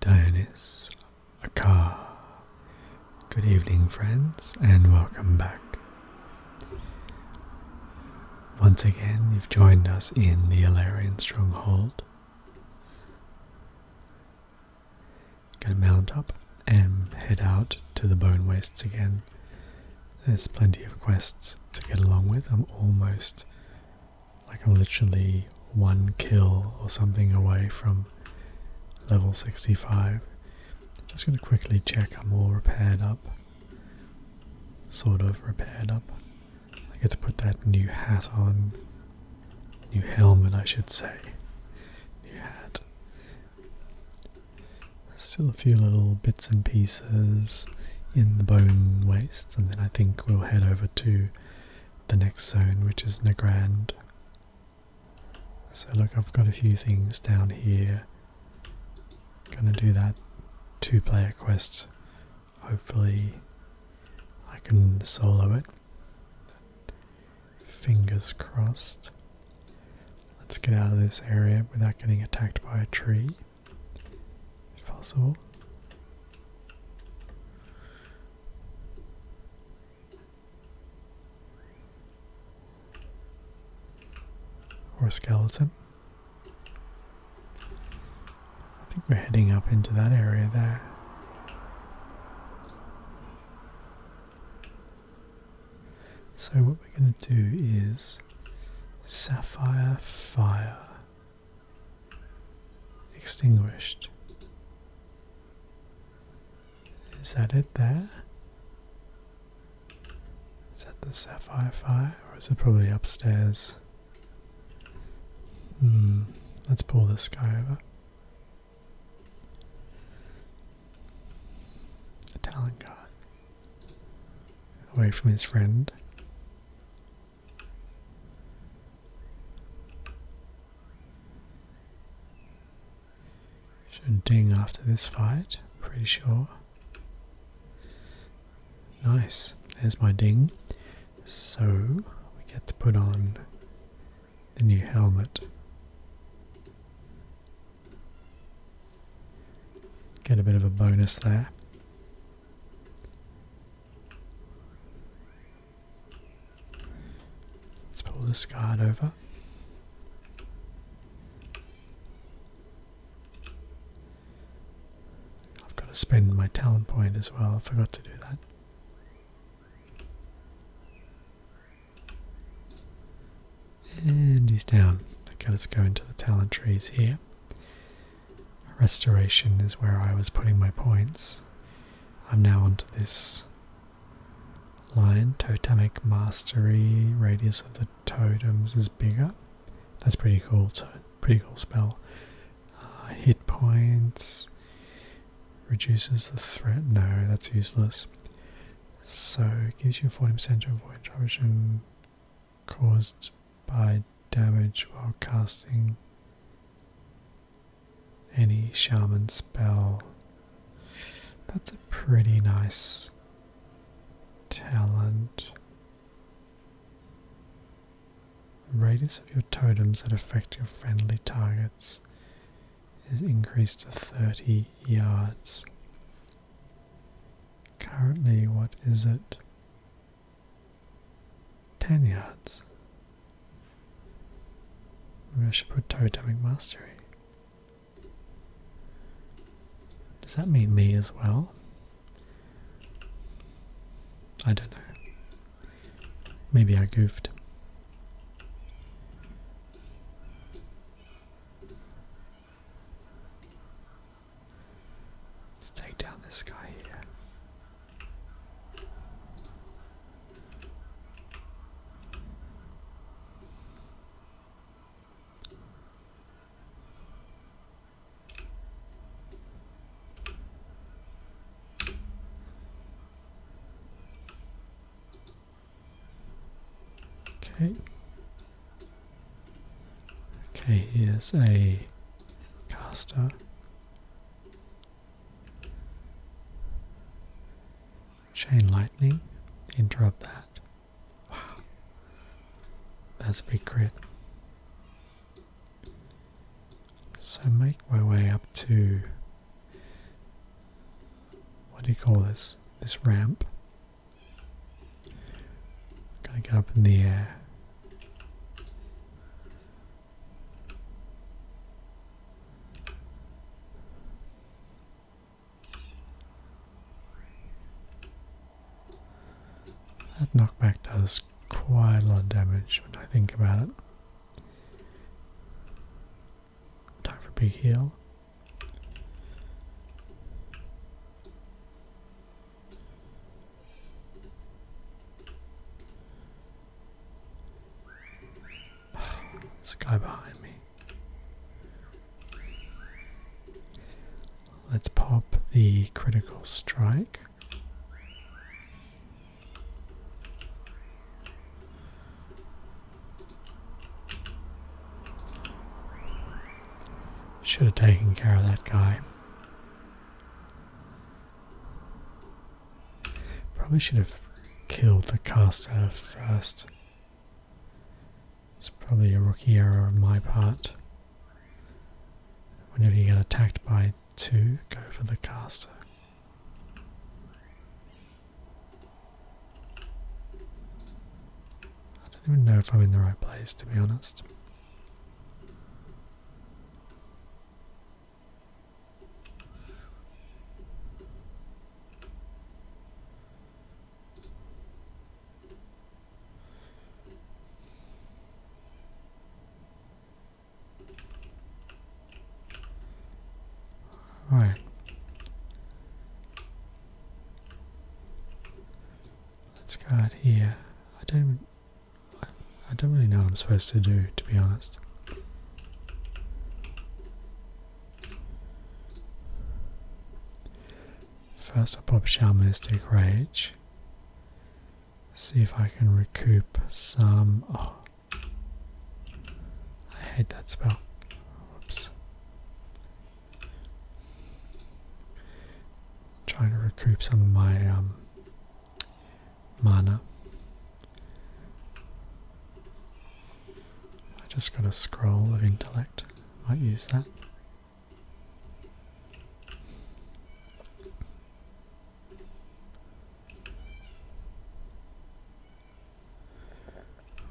Dionys Akar. Good evening, friends, and welcome back. Once again, you've joined us in the Ilarian Stronghold. Gonna mount up and head out to the Bone Wastes again. There's plenty of quests to get along with. I'm almost like I'm literally one kill or something away from level 65. Just going to quickly check I'm all repaired up. Sort of repaired up. I get to put that new hat on. New helmet, I should say. New hat. Still a few little bits and pieces in the bone wastes, and then I think we'll head over to the next zone, which is Nagrand. So look, I've got a few things down here. Gonna do that two-player quest. Hopefully I can solo it. Fingers crossed. Let's get out of this area without getting attacked by a tree, if possible. Or skeleton. I think we're heading up into that area there. So, what we're going to do is sapphire fire. Extinguished. Is that it there? Is that the sapphire fire or is it probably upstairs? Hmm, let's pull this guy over. The guard. Away from his friend. Should ding after this fight, pretty sure. Nice, there's my ding. So we get to put on the new helmet. Get a bit of a bonus there. Let's pull this card over. I've got to spend my talent point as well. I forgot to do that. And he's down. Okay, let's go into the talent trees here. Restoration is where I was putting my points. I'm now onto this line. Totemic mastery radius of the totems is bigger. That's pretty cool. So pretty cool spell. Uh, hit points reduces the threat. No, that's useless. So gives you 40% to avoid troubleshooting caused by damage while casting any shaman spell. That's a pretty nice talent. Radius of your totems that affect your friendly targets is increased to 30 yards. Currently, what is it? 10 yards. Maybe I should put Totemic Mastery. Does that mean me as well? I don't know. Maybe I goofed. Let's take down this guy here. Okay. Okay, here's a caster. Chain lightning, interrupt that. Wow. That's a big crit. So make my way up to what do you call this? This ramp. I'm gonna get up in the air. That knockback does quite a lot of damage when I think about it. Time for a big heal. There's a guy behind me. Let's pop the critical strike. Should have taken care of that guy. Probably should have killed the caster first. It's probably a rookie error on my part. Whenever you get attacked by two, go for the caster. I don't even know if I'm in the right place, to be honest. Alright. Let's go out here. I don't I don't really know what I'm supposed to do, to be honest. First, I'll pop Shamanistic Rage. See if I can recoup some. Oh. I hate that spell. Oops. Trying to recoup some of my um, mana. I just got a scroll of intellect. Might use that.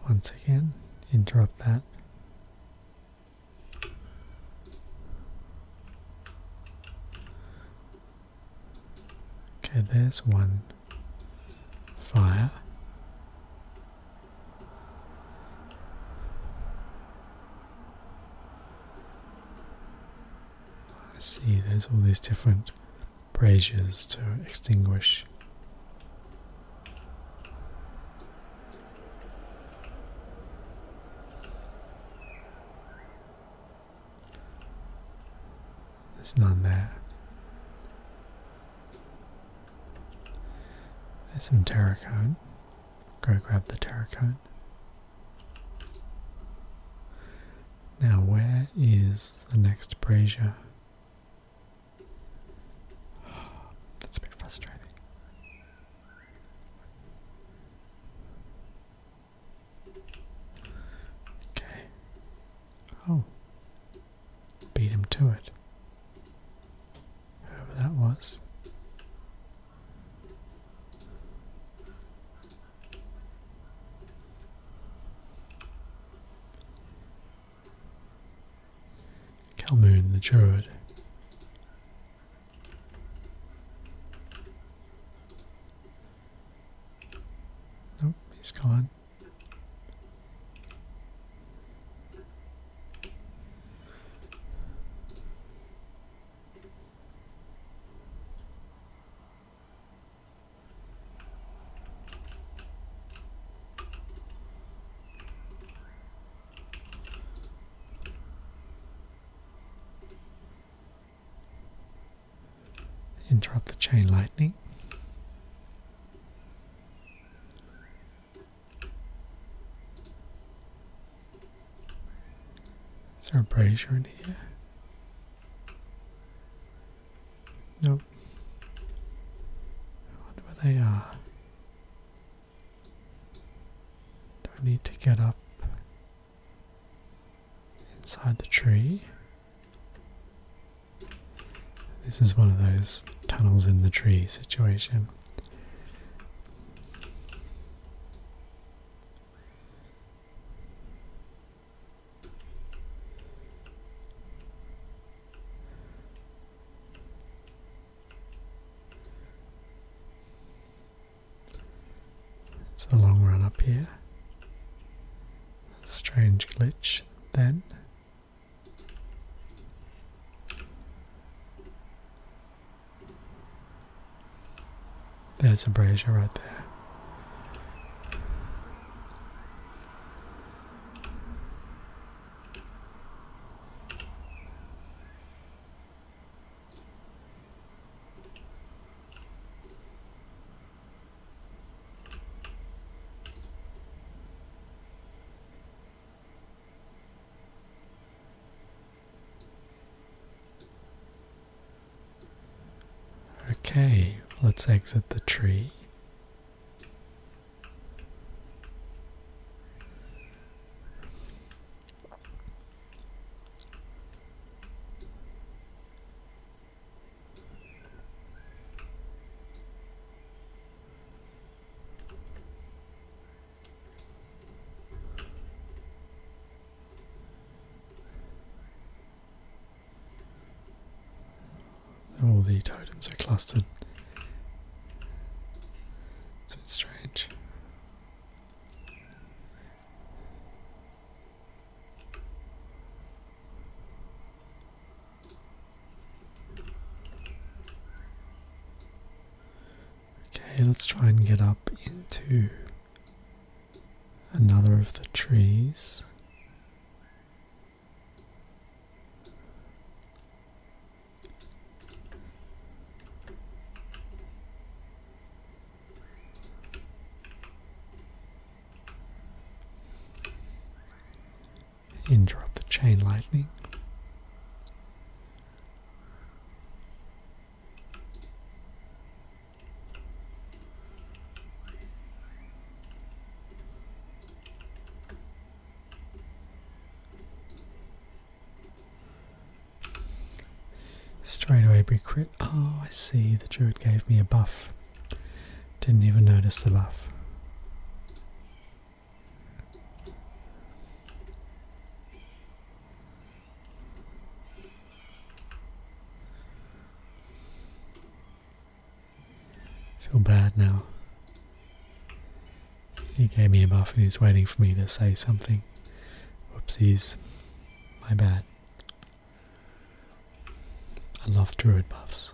Once again, interrupt that. Okay, there's one fire. I see there's all these different braziers to extinguish. There's none there. There's some terracone. Go grab the terracone. Now, where is the next brazier? that's a bit frustrating. Okay. Oh. Beat him to it. Whoever that was. Kelmoon the Druid. Nope, he's gone. Interrupt the chain lightning. Is there a brazier in here? Nope. I wonder where they are. Do I need to get up? inside the tree. This is one of those tunnels in the tree situation. It's a long run up here. Strange glitch then. There's a brazier right there. Okay, let's exit the tree. All the totems are clustered. So it's strange. Okay, let's try and get up into another of the trees. Interrupt the chain lightning. Straight away be crit. Oh, I see. The druid gave me a buff. Didn't even notice the laugh. Feel bad now. He gave me a buff and he's waiting for me to say something. Whoopsies. My bad. I love druid buffs.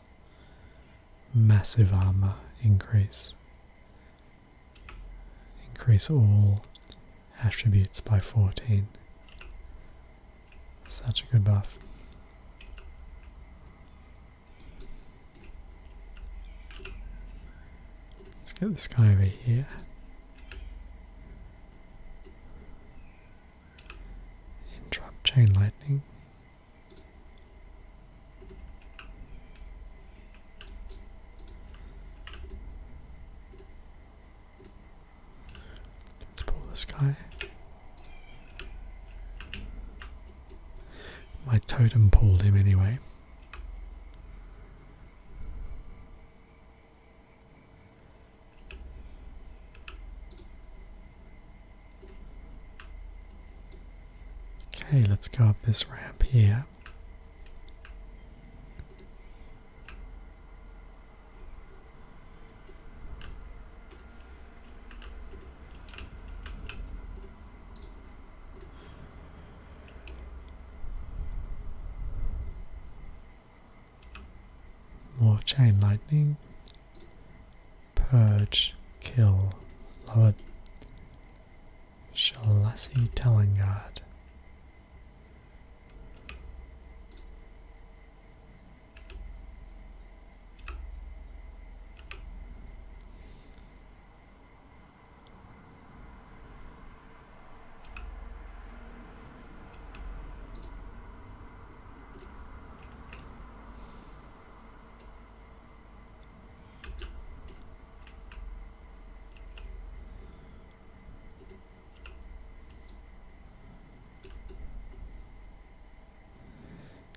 Massive armor increase. Increase all attributes by 14. Such a good buff. Let's get this guy over here drop chain lightning. Let's pull this guy. My totem pulled him anyway. Okay, let's go up this ramp here. More chain lightning. Purge, kill, love it. Shalassi Talangard.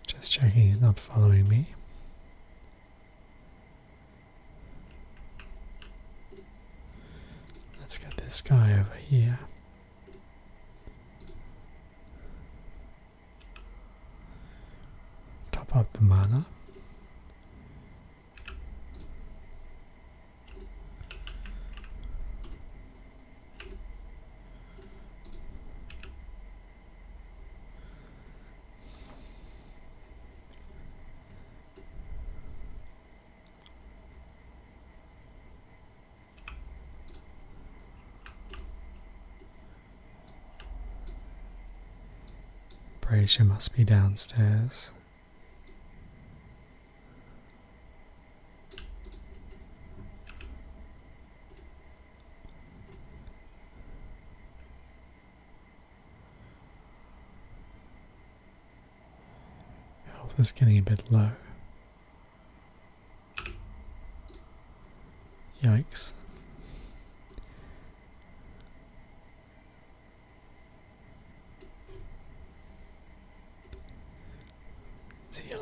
Just checking he's not following me. Let's get this guy over here. Top up the mana. Brazier must be downstairs. Health is getting a bit low. Yikes. Let's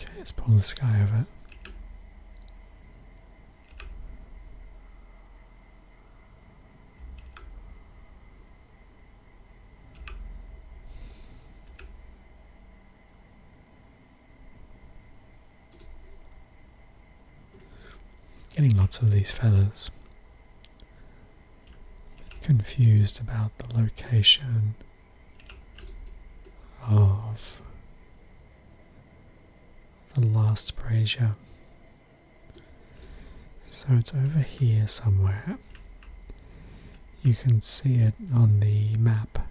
Okay, let's pull this guy over. Getting lots of these feathers. Confused about the location of the last brazier. So it's over here somewhere. You can see it on the map,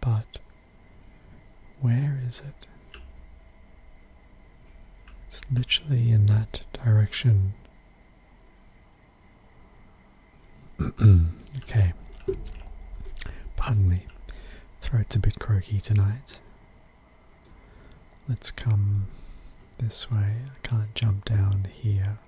but where is it? It's literally in that direction. okay. Pardon me. Throat's a bit croaky tonight. Let's come this way. I can't jump down here.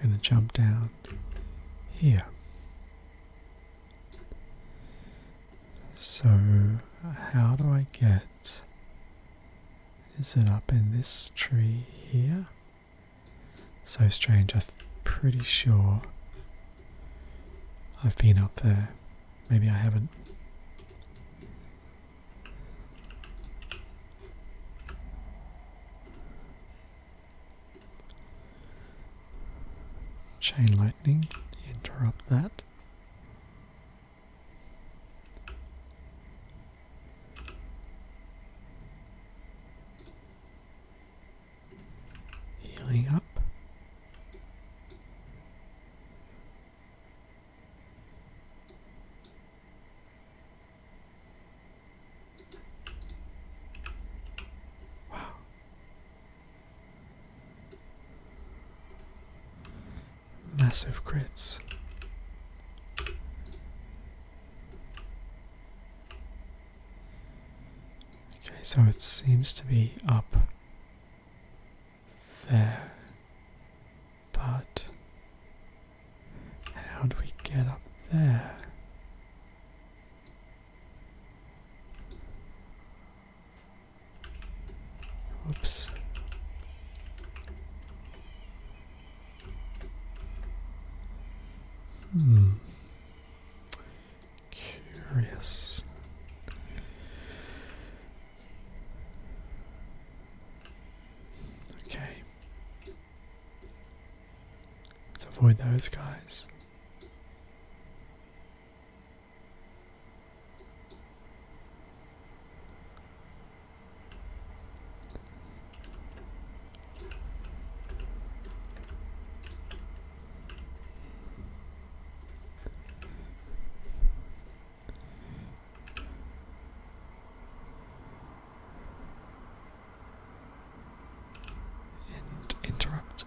We're going to jump down here. So, how do I get? Is it up in this tree here? So strange, I'm pretty sure I've been up there. Maybe I haven't. Chain lightning, interrupt that. Healing up. Wow. Massive crits. Okay, so it seems to be up there, but how do we get up there? Oops. Hmm. Curious. Okay. Let's avoid those guys interrupt.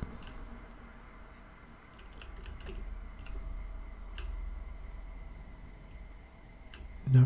No.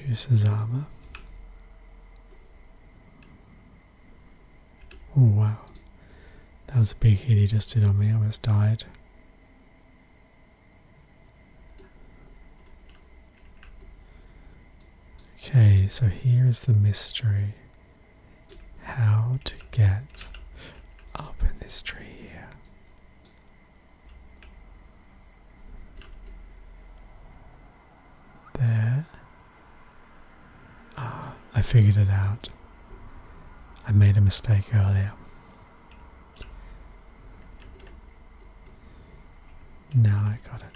Reduce armor. Oh wow. That was a big hit he just did on me, almost died. Okay, so here is the mystery how to get up in this tree here. There. Ah, I figured it out. I made a mistake earlier. Now I got it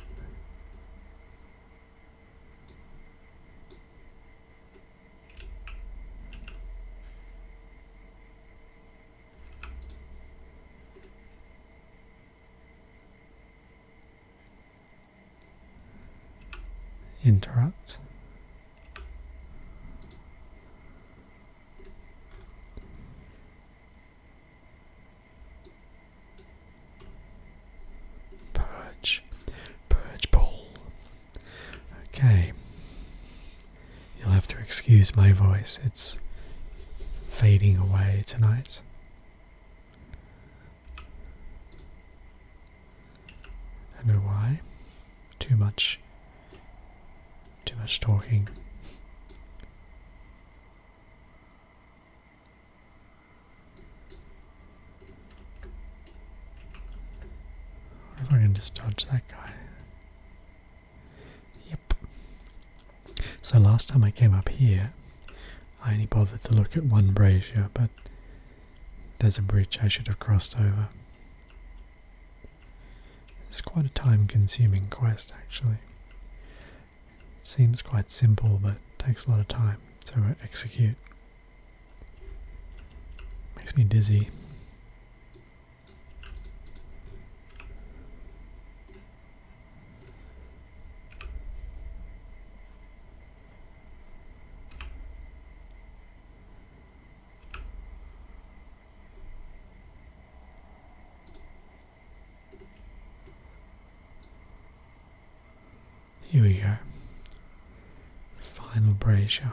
interrupt. Purge, purge pull, Okay. You'll have to excuse my voice, it's fading away tonight. I don't know why. Too much. Too much talking. We're going to just dodge that guy. Yep. So last time I came up here, I only bothered to look at one brazier, but there's a bridge I should have crossed over. It's quite a time consuming quest actually. Seems quite simple but takes a lot of time to execute. Makes me dizzy. Here we go. Final brazier.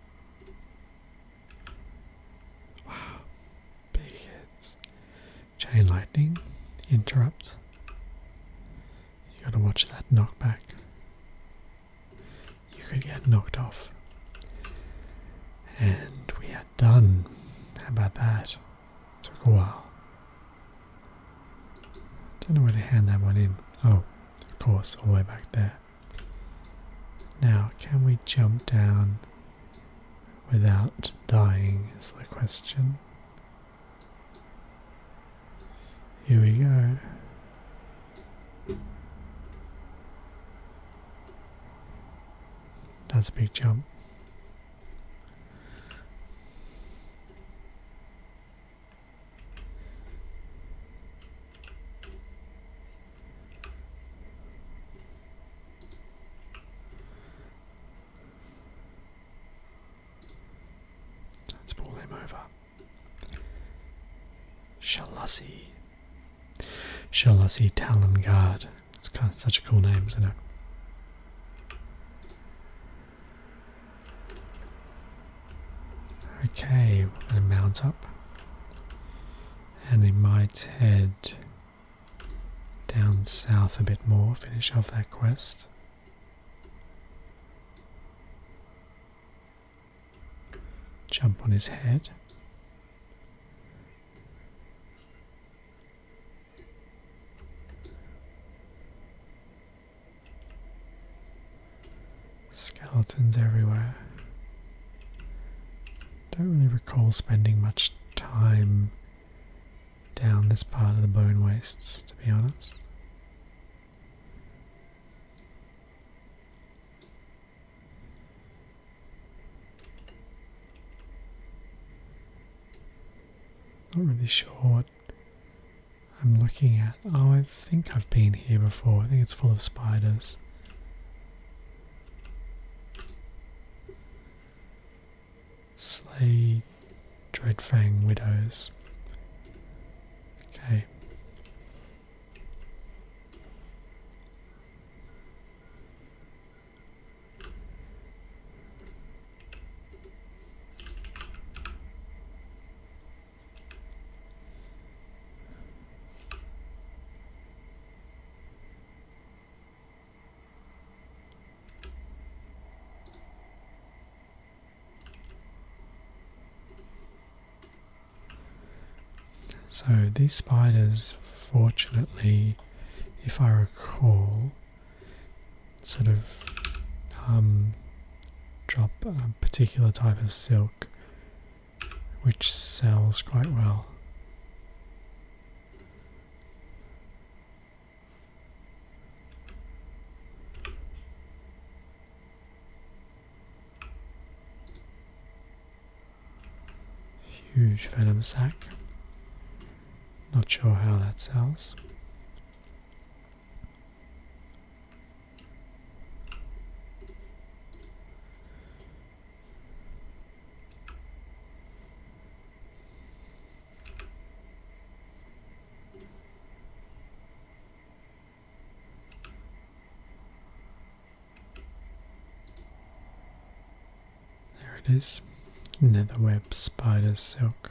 Wow. Big hits. Chain lightning. Interrupt. You gotta watch that knockback. You could get knocked off. And we are done. How about that? Took a while. Don't know where to hand that one in. Oh, of course, all the way back there. Now, can we jump down without dying? Is the question. Here we go. That's a big jump. Let's pull him over. Shalasi. Shalasi Talon It's kind of such a cool name, isn't it? Okay, we're going to mount up. And we might head down south a bit more, finish off that quest. Jump on his head. Skeletons everywhere. Don't really recall spending much time down this part of the bone wastes, to be honest. Not really sure what I'm looking at. Oh, I think I've been here before. I think it's full of spiders. Slay Dreadfang Widows. Okay. So these spiders, fortunately, if I recall, sort of um, drop a particular type of silk which sells quite well. Huge venom sac. Not sure how that sells. There it is, netherweb spider silk.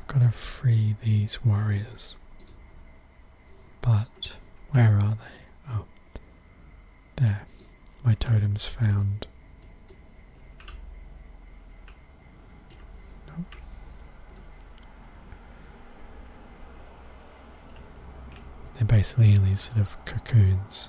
I've got to free these warriors. But where are they? Oh, there. My totem's found. They're basically in these sort of cocoons.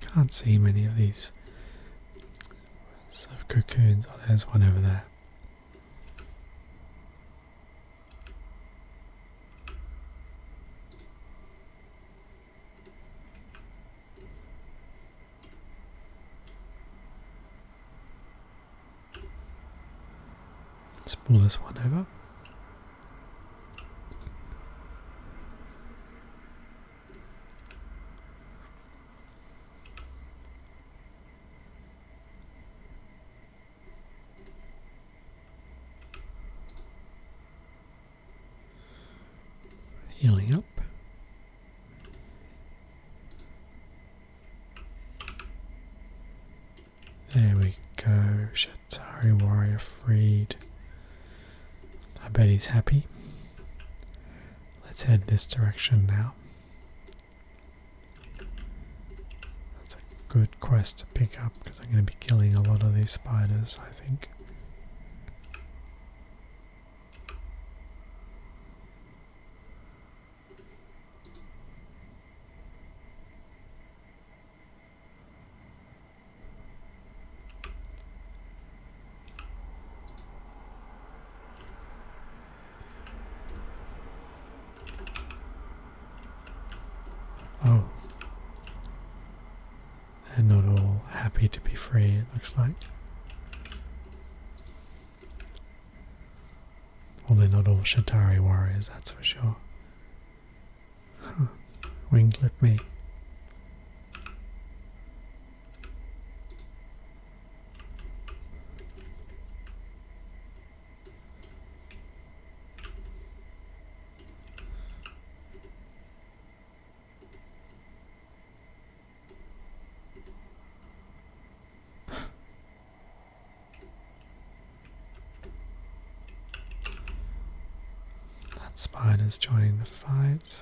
Can't see many of these sort cocoons. Oh, there's one over there. pull this one over. Healing up. There we go. Shatari warrior freed. I bet he's happy. Let's head this direction now. That's a good quest to pick up because I'm going to be killing a lot of these spiders, I think. Oh, they're not all happy to be free, it looks like. Well, they're not all Shatari warriors, that's for sure. Huh. Winglet me. That spider's joining the fight.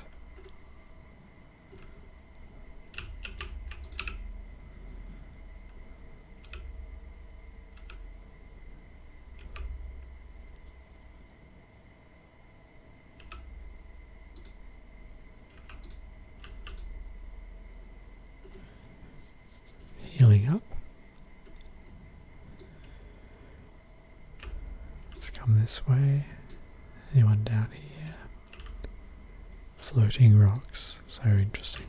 Healing up. Let's come this way. Anyone down here? Floating rocks. So interesting.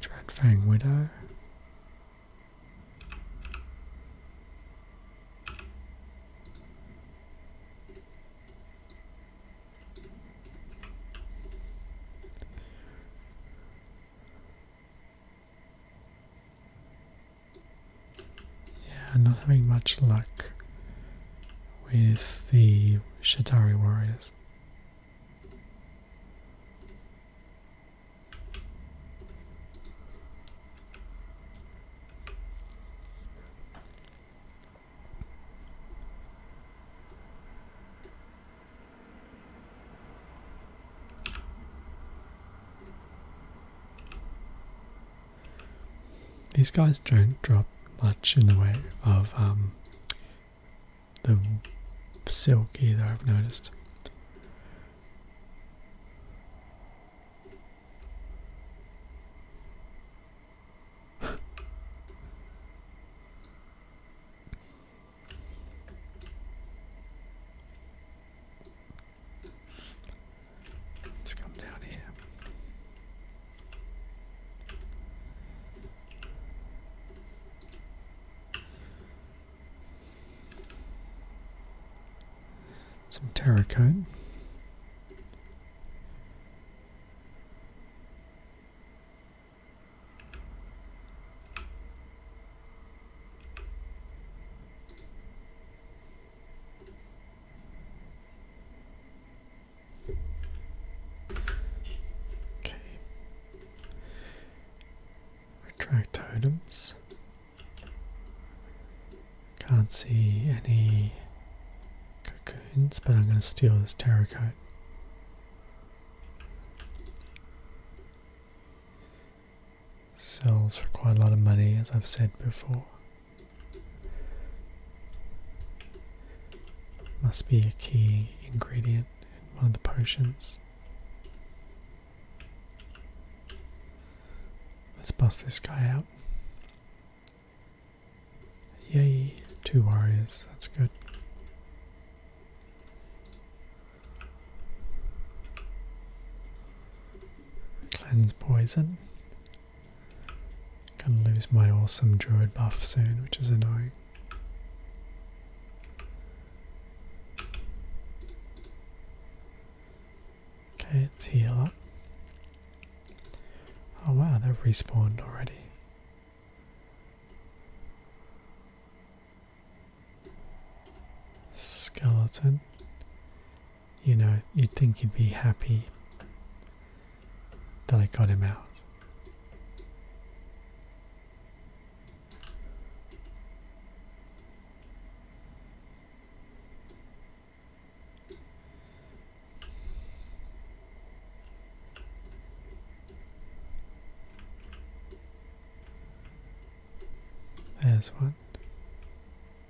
Dreadfang Widow. Yeah, not having much luck with the Shatari warriors. These guys don't drop much in the way of um, the silk either, I've noticed. Let's come down here. Some tarot Okay. Retract totems. Can't see any cocoons, but I'm going to steal this terracotta sells for quite a lot of money, as I've said before. Must be a key ingredient in one of the potions. Let's bust this guy out. Yay, two warriors, that's good. Cleanse poison. Gonna lose my awesome Droid buff soon, which is annoying. Okay, it's heal Oh wow, they respawned already. Skeleton. You know, you'd think you would be happy that I got him out. There's one.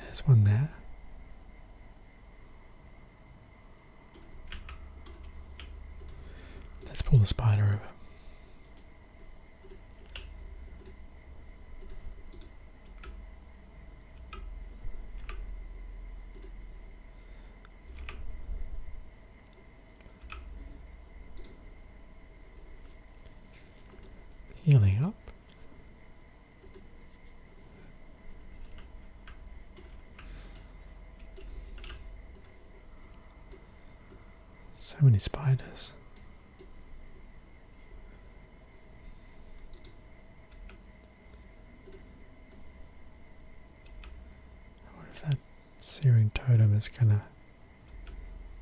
There's one there. Let's pull the spider over. Healing up. So many spiders. I that Searing Totem is gonna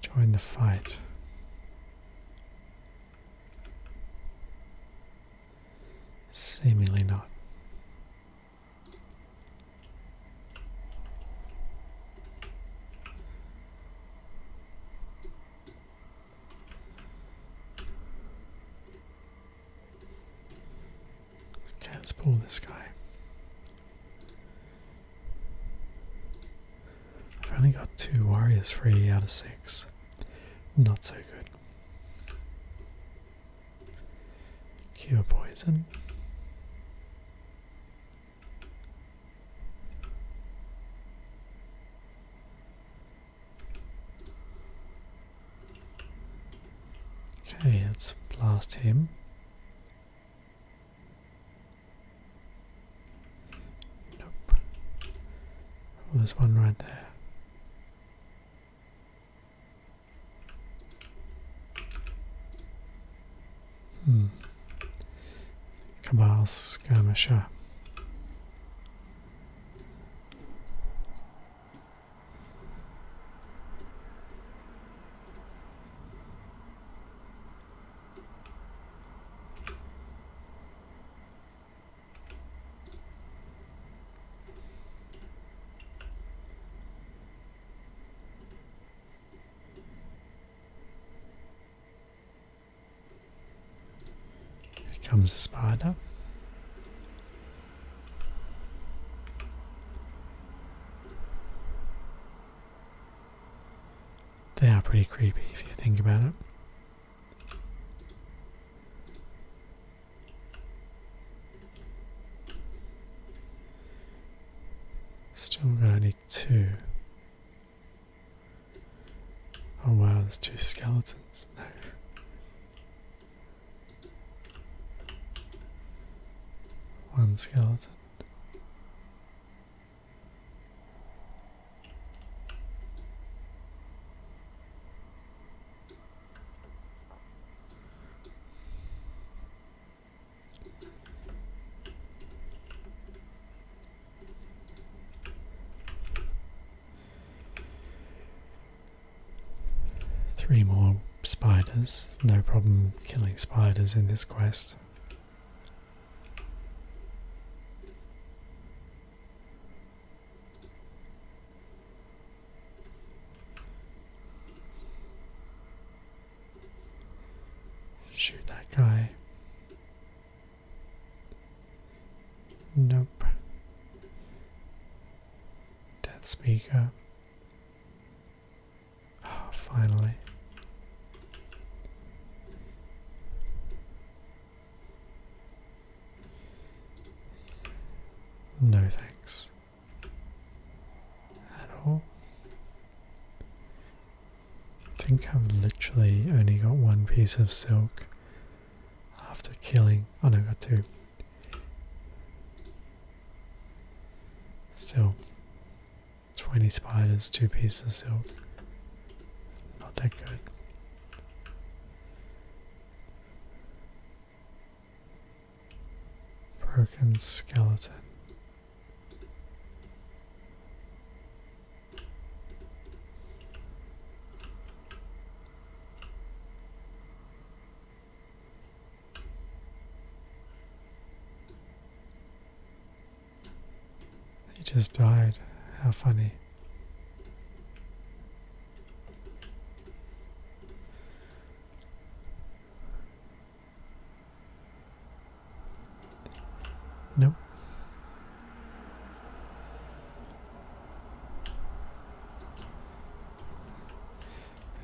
join the fight. Seemingly not. Okay, let's pull this guy. I've only got two warriors free out of six. Not so good. Cure poison. Okay, let's blast him. Nope. Oh, there's one right there. Hmm. Cabal skirmisher. Here comes the spider. They are pretty creepy if you think about it. Still gonna two. Oh wow, there's two skeletons. No. One skeleton. Three more spiders. No problem killing spiders in this quest. Shoot that guy. Nope. Dead speaker. Oh, finally. No thanks. At all. I think I've literally only got one piece of silk after killing. Oh no, got two. Still, 20 spiders, 2 pieces of silk. Not that good. Broken skeleton. He just died. How funny. Nope.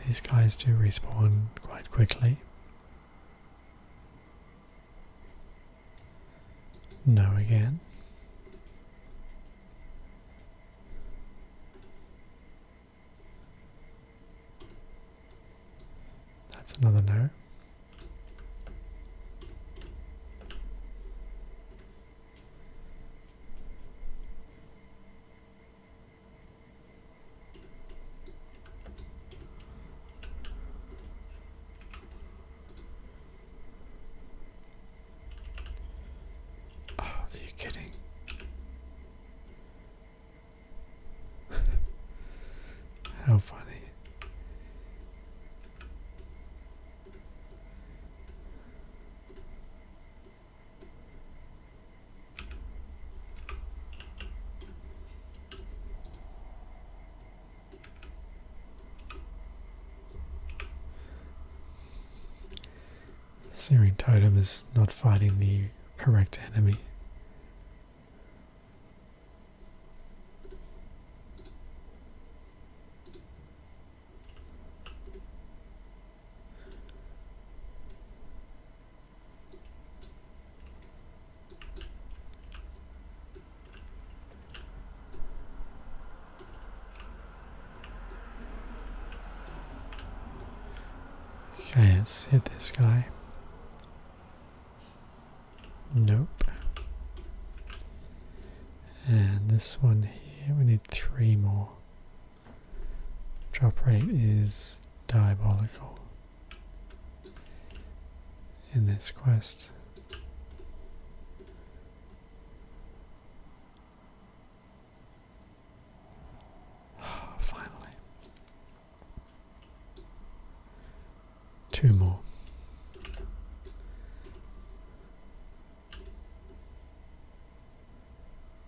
These guys do respawn quite quickly. No again. That's another no. Oh, are you kidding? How funny. Searing Totem is not fighting the correct enemy. Okay, let's hit this guy. Nope. And this one here, we need three more. Drop rate is diabolical in this quest. Ah, finally. Two more.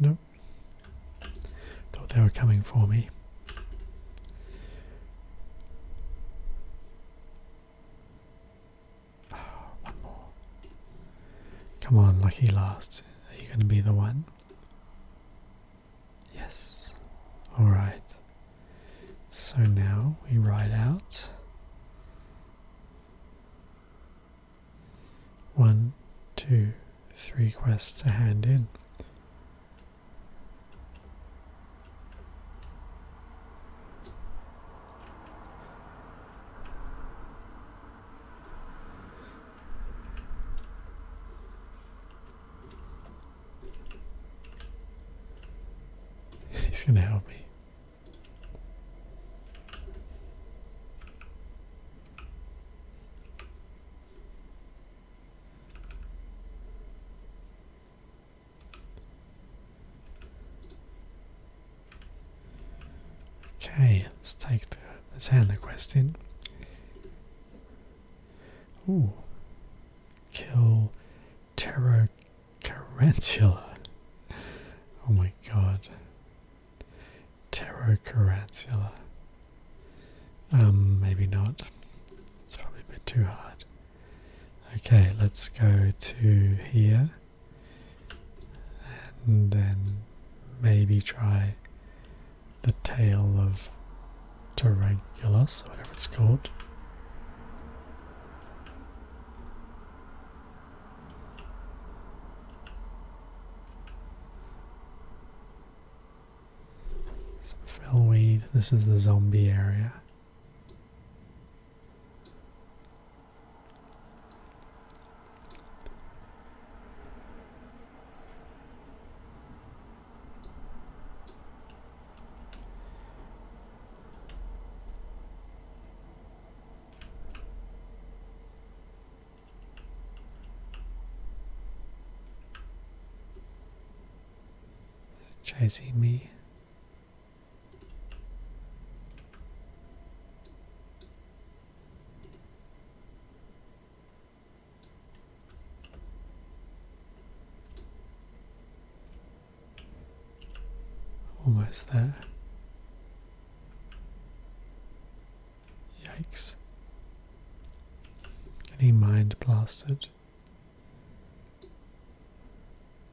Nope. Thought they were coming for me. Oh, one more. Come on, lucky last. Are you going to be the one? Yes. Alright. So now we ride out. One, two, three quests a hand in. He's going to help me. Okay, let's take the let's hand the quest in. Ooh. Kill Terror Carantula. Oh my god. Pterocarantula. Um, maybe not. It's probably a bit too hard. Okay, let's go to here and then maybe try the tail of Taranculus, whatever it's called. Some This is the zombie area. Chasing me. Almost there. Yikes. Any mind blasted?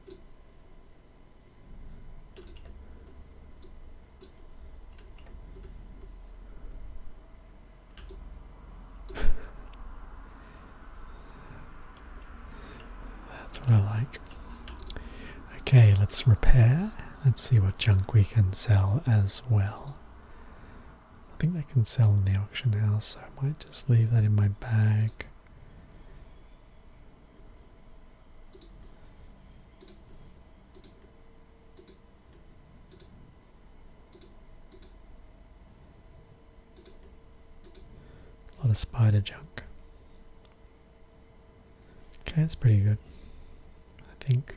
That's what I like. Okay, let's repair. Let's see what junk we can sell as well. I think I can sell in the auction house, so I might just leave that in my bag. A lot of spider junk. Okay, that's pretty good. I think.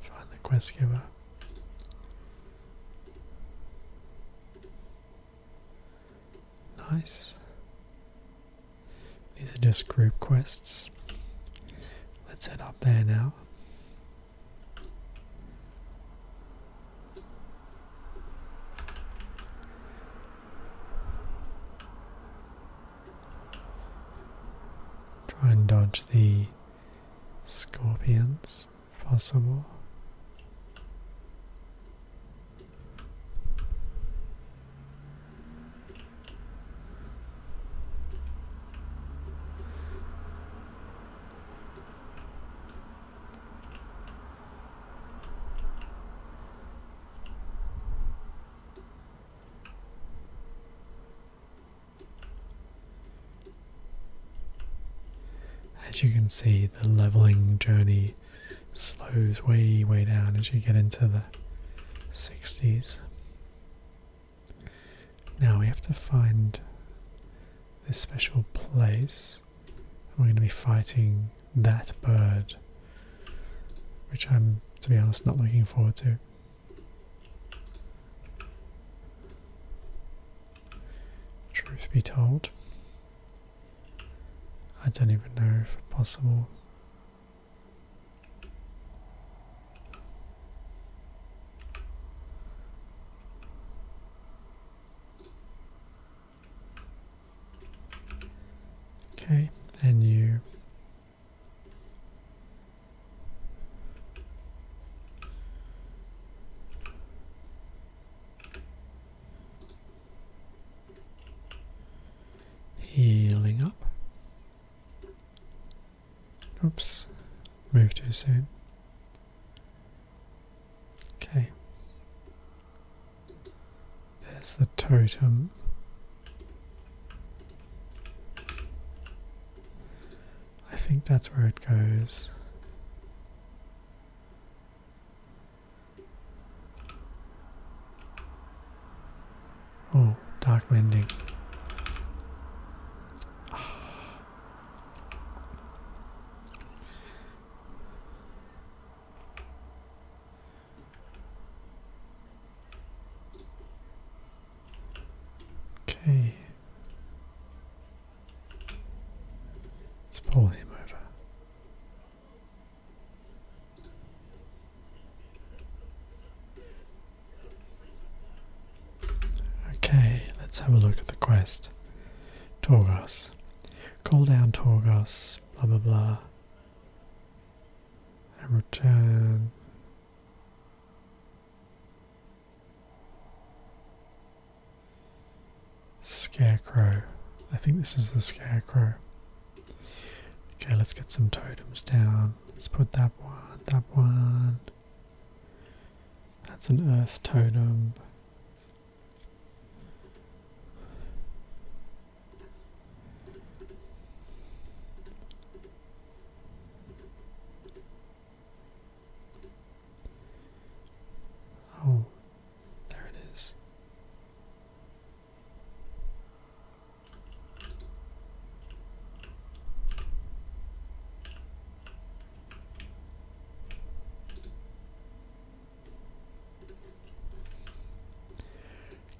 Find the quest giver. Nice. These are just group quests. Let's head up there now. Try and dodge the scorpions possible. As you can see, the leveling journey slows way, way down as you get into the 60s. Now we have to find this special place we're going to be fighting that bird, which I'm, to be honest, not looking forward to. Truth be told, I don't even know if it's possible. Okay, and you healing up. Oops, move too soon. Okay. There's the totem. I think that's where it goes. Oh, dark mending. Okay. Let's pull him over. Okay, let's have a look at the quest. Tauros. Call down Torgas, blah blah blah. And return. Scarecrow. I think this is the scarecrow. Okay, let's get some totems down. Let's put that one, that one. That's an earth totem. Oh, there it is.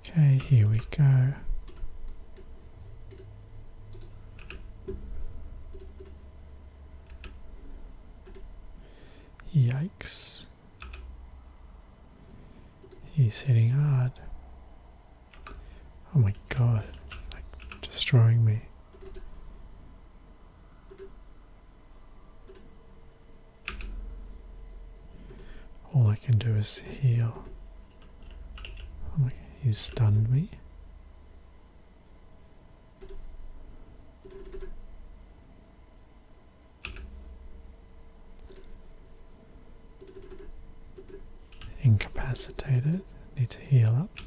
Okay, here we go. Yikes. He's hitting hard. Oh my god, like destroying me. All I can do is heal. Oh he stunned me. Incapacitated. Need to heal up.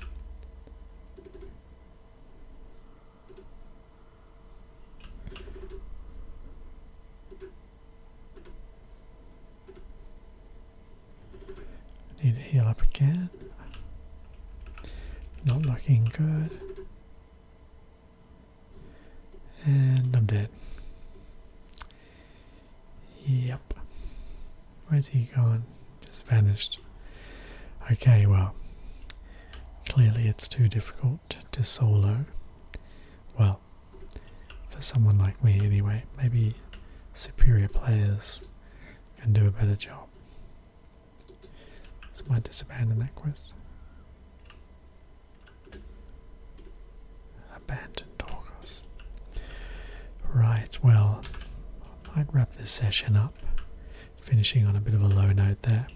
Need to heal up again. Not looking good. And I'm dead. Yep. Where's he gone? Just vanished. Okay, well, Clearly, it's too difficult to solo. Well, for someone like me, anyway, maybe superior players can do a better job. So, might just abandon that quest. Abandon Torgos. Right, well, I might wrap this session up finishing on a bit of a low note there.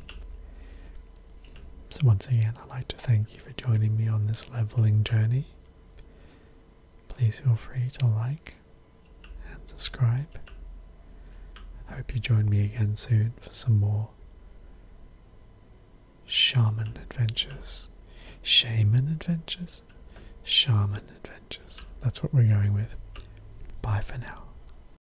So, once again, I'd like to thank you for joining me on this leveling journey. Please feel free to like and subscribe. I hope you join me again soon for some more shaman adventures. Shaman adventures? Shaman adventures. That's what we're going with. Bye for now.